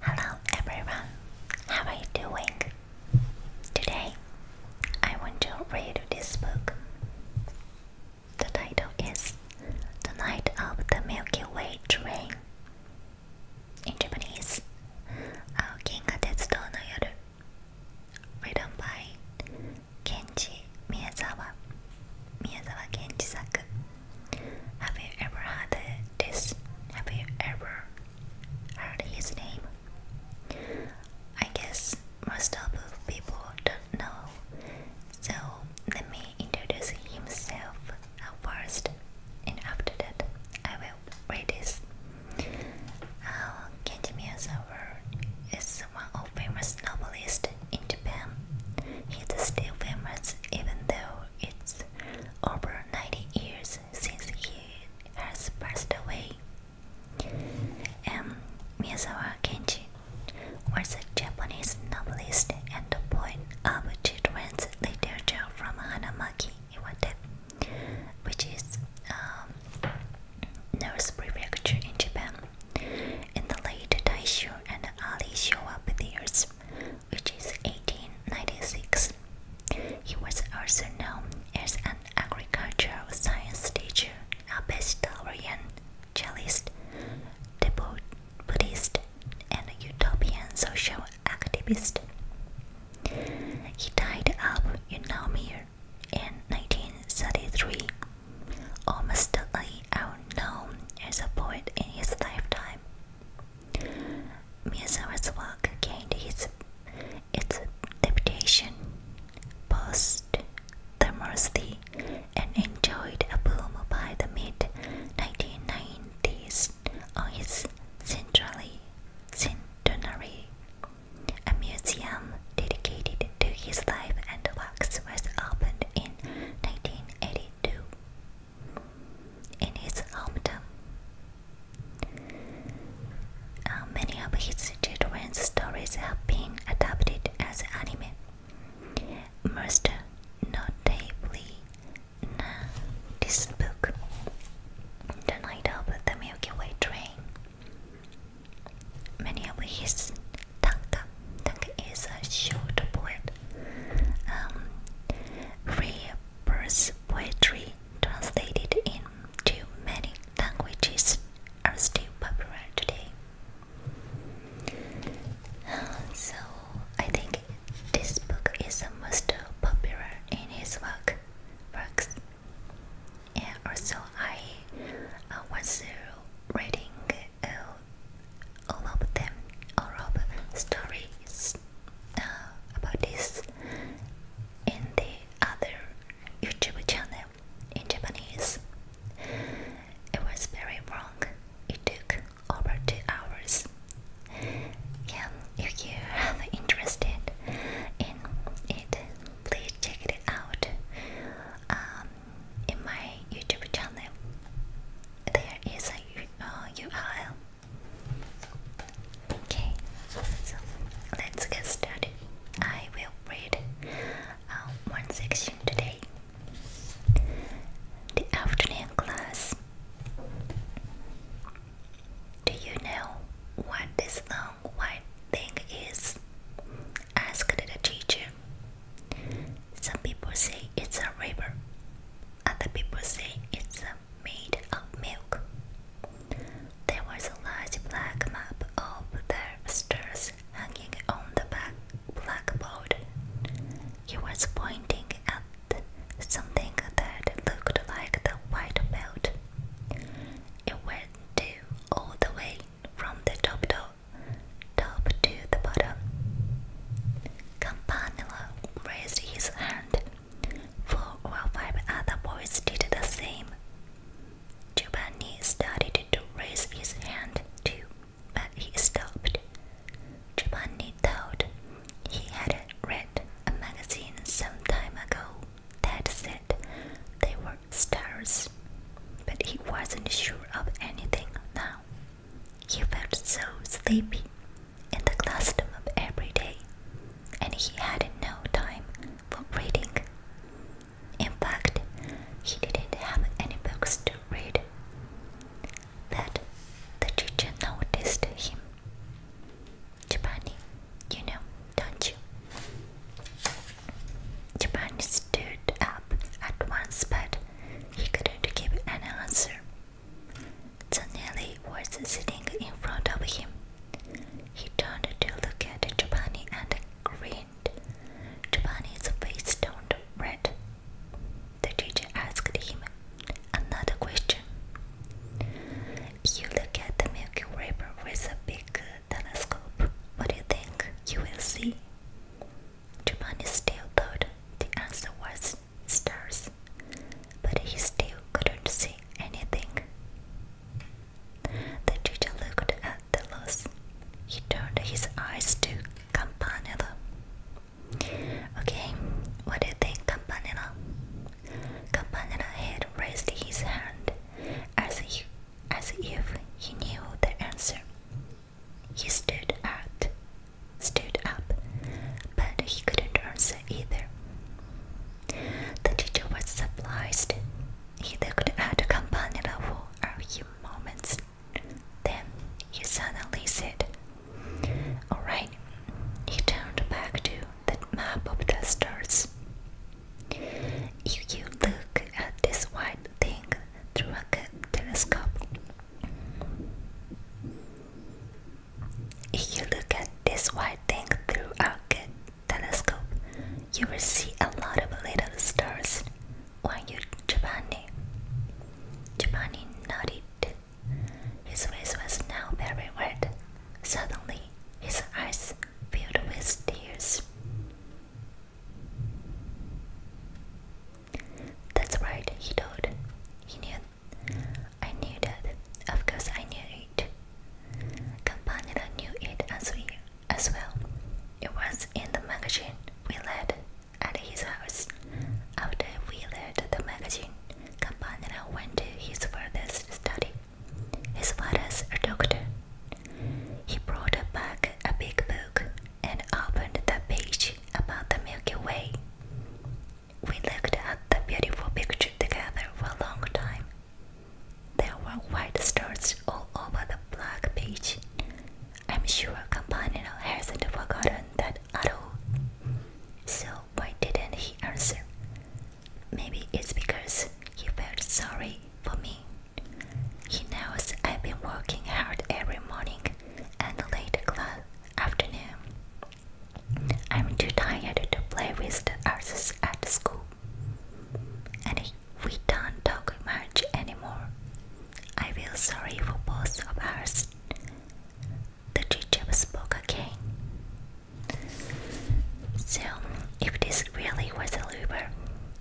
Hello everyone, how are you doing? Today I want to read this book. The title is The Night of the Milky Way Train. In Japanese, Aokinga uh, Written by Kenji Miyazawa. Miyazawa Kenji Saku. Have you ever had this? Have you ever heard his name? I guess most of people don't know, so let me introduce himself first, and after that, I will read this. Uh, Kenji Miyazawa is one of famous novelists in Japan. He's still famous even though it's over 90 years since he has passed away. and Miyazawa Kenji was a Japanese novelist and poet of children's literature from Hanamaki, Iwate, which is um, Nurse Prefecture in Japan. In the late Taisho and early Showa years, which is 1896. He was also known as an agricultural science teacher, a vegetarian, cellist, devout Buddhist, and utopian social activist. He died in eunomia in 1933. Almost certainly unknown as a poet in his lifetime, Museum's work gained its, its reputation post Thermosity and enjoyed a boom by the mid 1990s on its centenary. A museum dedicated to his life and works was opened in 1982 in his hometown. Uh, many of his children's stories have been adapted as anime. Most notably, uh, this book, The Night of the Milky Way Train. Many of his tanka, tanka is a short poem um, Burns' poetry, translated into many languages, are still popular today. So, I think this book is the most popular in his work works. And also, I uh, was reading uh, all of them, all of stories uh, about this in the other YouTube channel in Japanese. It was very long; It took over two hours. Yeah, if you are interested in it, please check it out um, in my YouTube channel. There is a uh, URL Okay, so let's get started. I will read uh, one section today. The afternoon class. Do you know what this long white thing is? asked the teacher. Some people say it's a river. Other people say it's made of milk. There was a large black map of the stairs hanging on the back blackboard. He was pointing at something that looked like the white belt. It went to all the way from the top to, top to the bottom. Campanula raised his hand. Four or five other boys did the same. Giovanni started to raise his hand too, but he stopped. Giovanni thought he had read a magazine some time ago that said they were stars, but he wasn't sure of anything now. He felt so sleepy in the classroom every day, and he had no time for reading. In fact, he didn't have any books to read. But the teacher noticed him. Chibani, you know, don't you? Chibani stood up at once, but he couldn't give an answer. Zanelli was sitting in front of him. He turned to look at Giovanni and grinned. Giovanni's face turned red. The teacher asked him another question. You look at the Milky Way with a big telescope. What do you think you will see? Giovanni still thought the answer was stars, but he still couldn't see anything. The teacher looked at the loss. He turned his eyes to Campanella. Okay, what do you think, Campanella? Campanella had raised his hand as if, as if he knew the answer. He stood out stood up, but he couldn't answer either. The teacher was surprised. He looked at the Campanella for a few moments. Then he suddenly said, All right. He turned back to the map of the stars. If you look at this white thing through a telescope, if you look at this white thing through our good telescope, you will see a lot of little stars. Why you Japani? Japani nodded. His face was now very red. Suddenly, his eyes filled with tears. That's right, he told. He knew I knew that. Of course, I knew it. Campanella knew it as well. It was in the magazine we read at his house. After we read the magazine, Campanella went to his father's study. His father's a doctor. He brought back a big book and opened the page about the Milky Way. We looked at the beautiful picture together for a long time. There were white stars all over the black page. I'm sure Campanino hasn't forgotten that at all. So why didn't he answer? Maybe it's because he felt sorry for me. He knows I've been working hard every morning and late afternoon I'm too tired to play with the others at school. And we don't talk much anymore. I feel sorry for both of us. The teacher spoke again. So, if this really was a river,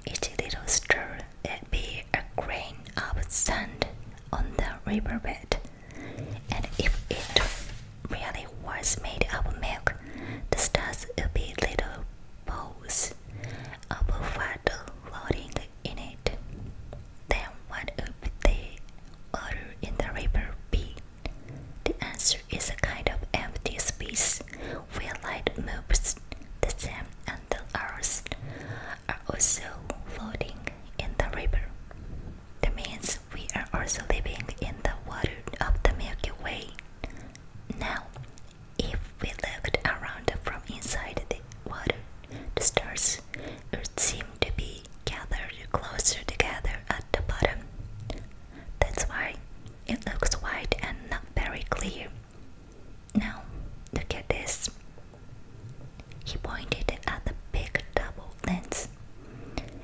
each little stir would be a grain of sand on the riverbed and if it really was made of milk, the stars would be little balls of water floating in it. Then what would the water in the river be? The answer is a kind of empty space where light moves. The sun and the earth are also floating in the river. That means we are also living in the water of the Milky Way. Now, if we looked around from inside the water, the stars would seem to be gathered closer together at the bottom. That's why it looks white and not very clear. Now, look at this. He pointed at the big double lens.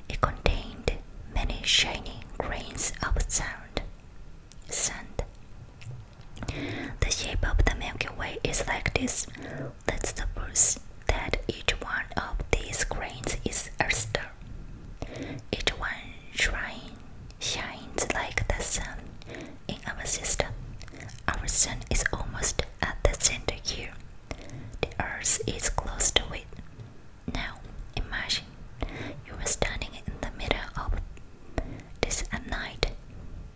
It contained many shining grains of sand. Sand. The shape of the Milky Way is like this. Let's suppose that each one of these grains is a star. Each one shine, shines like the sun in our system. Our sun is almost at the center here. The earth is close to it. Now, imagine you were standing in the middle of this at night.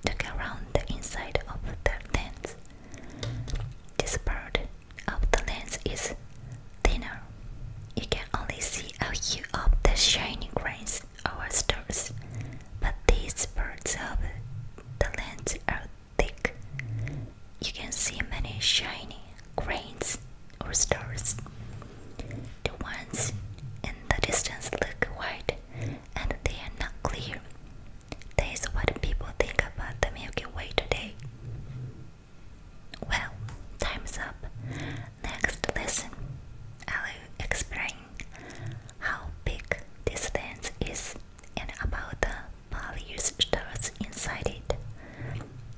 Look around the inside of the lens. This part of the lens is thinner. You can only see a few of the shining grains or stars, but these parts of the lens are thick. You can see many shiny grains or stars. The ones in the distance look white and they are not clear. That is what people think about the Milky Way today. Well, time's up. Next lesson, I'll explain how big this lens is and about the various stars inside it.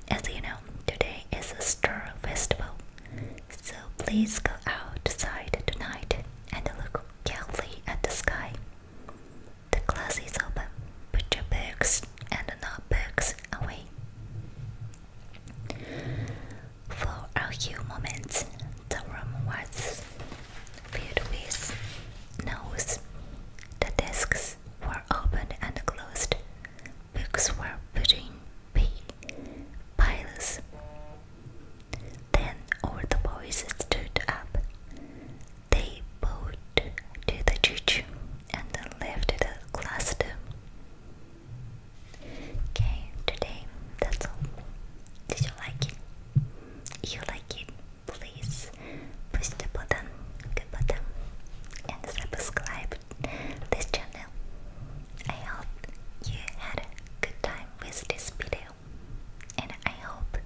As you know, today is a star festival, so please go outside tonight and look carefully at the sky. The glass is open. Put your books and notebooks away. For a few moments, the room was Beardwith's nose. The desks were opened and closed. Books were put in piles. Then all the boys stood up. They bowed to the church and left the classroom. Okay, today that's all. Did you like it? You like it? please push the button, good button, and subscribe this channel. I hope you had a good time with this video, and I hope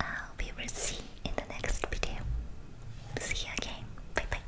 uh, we will see in the next video. See you again. Bye bye.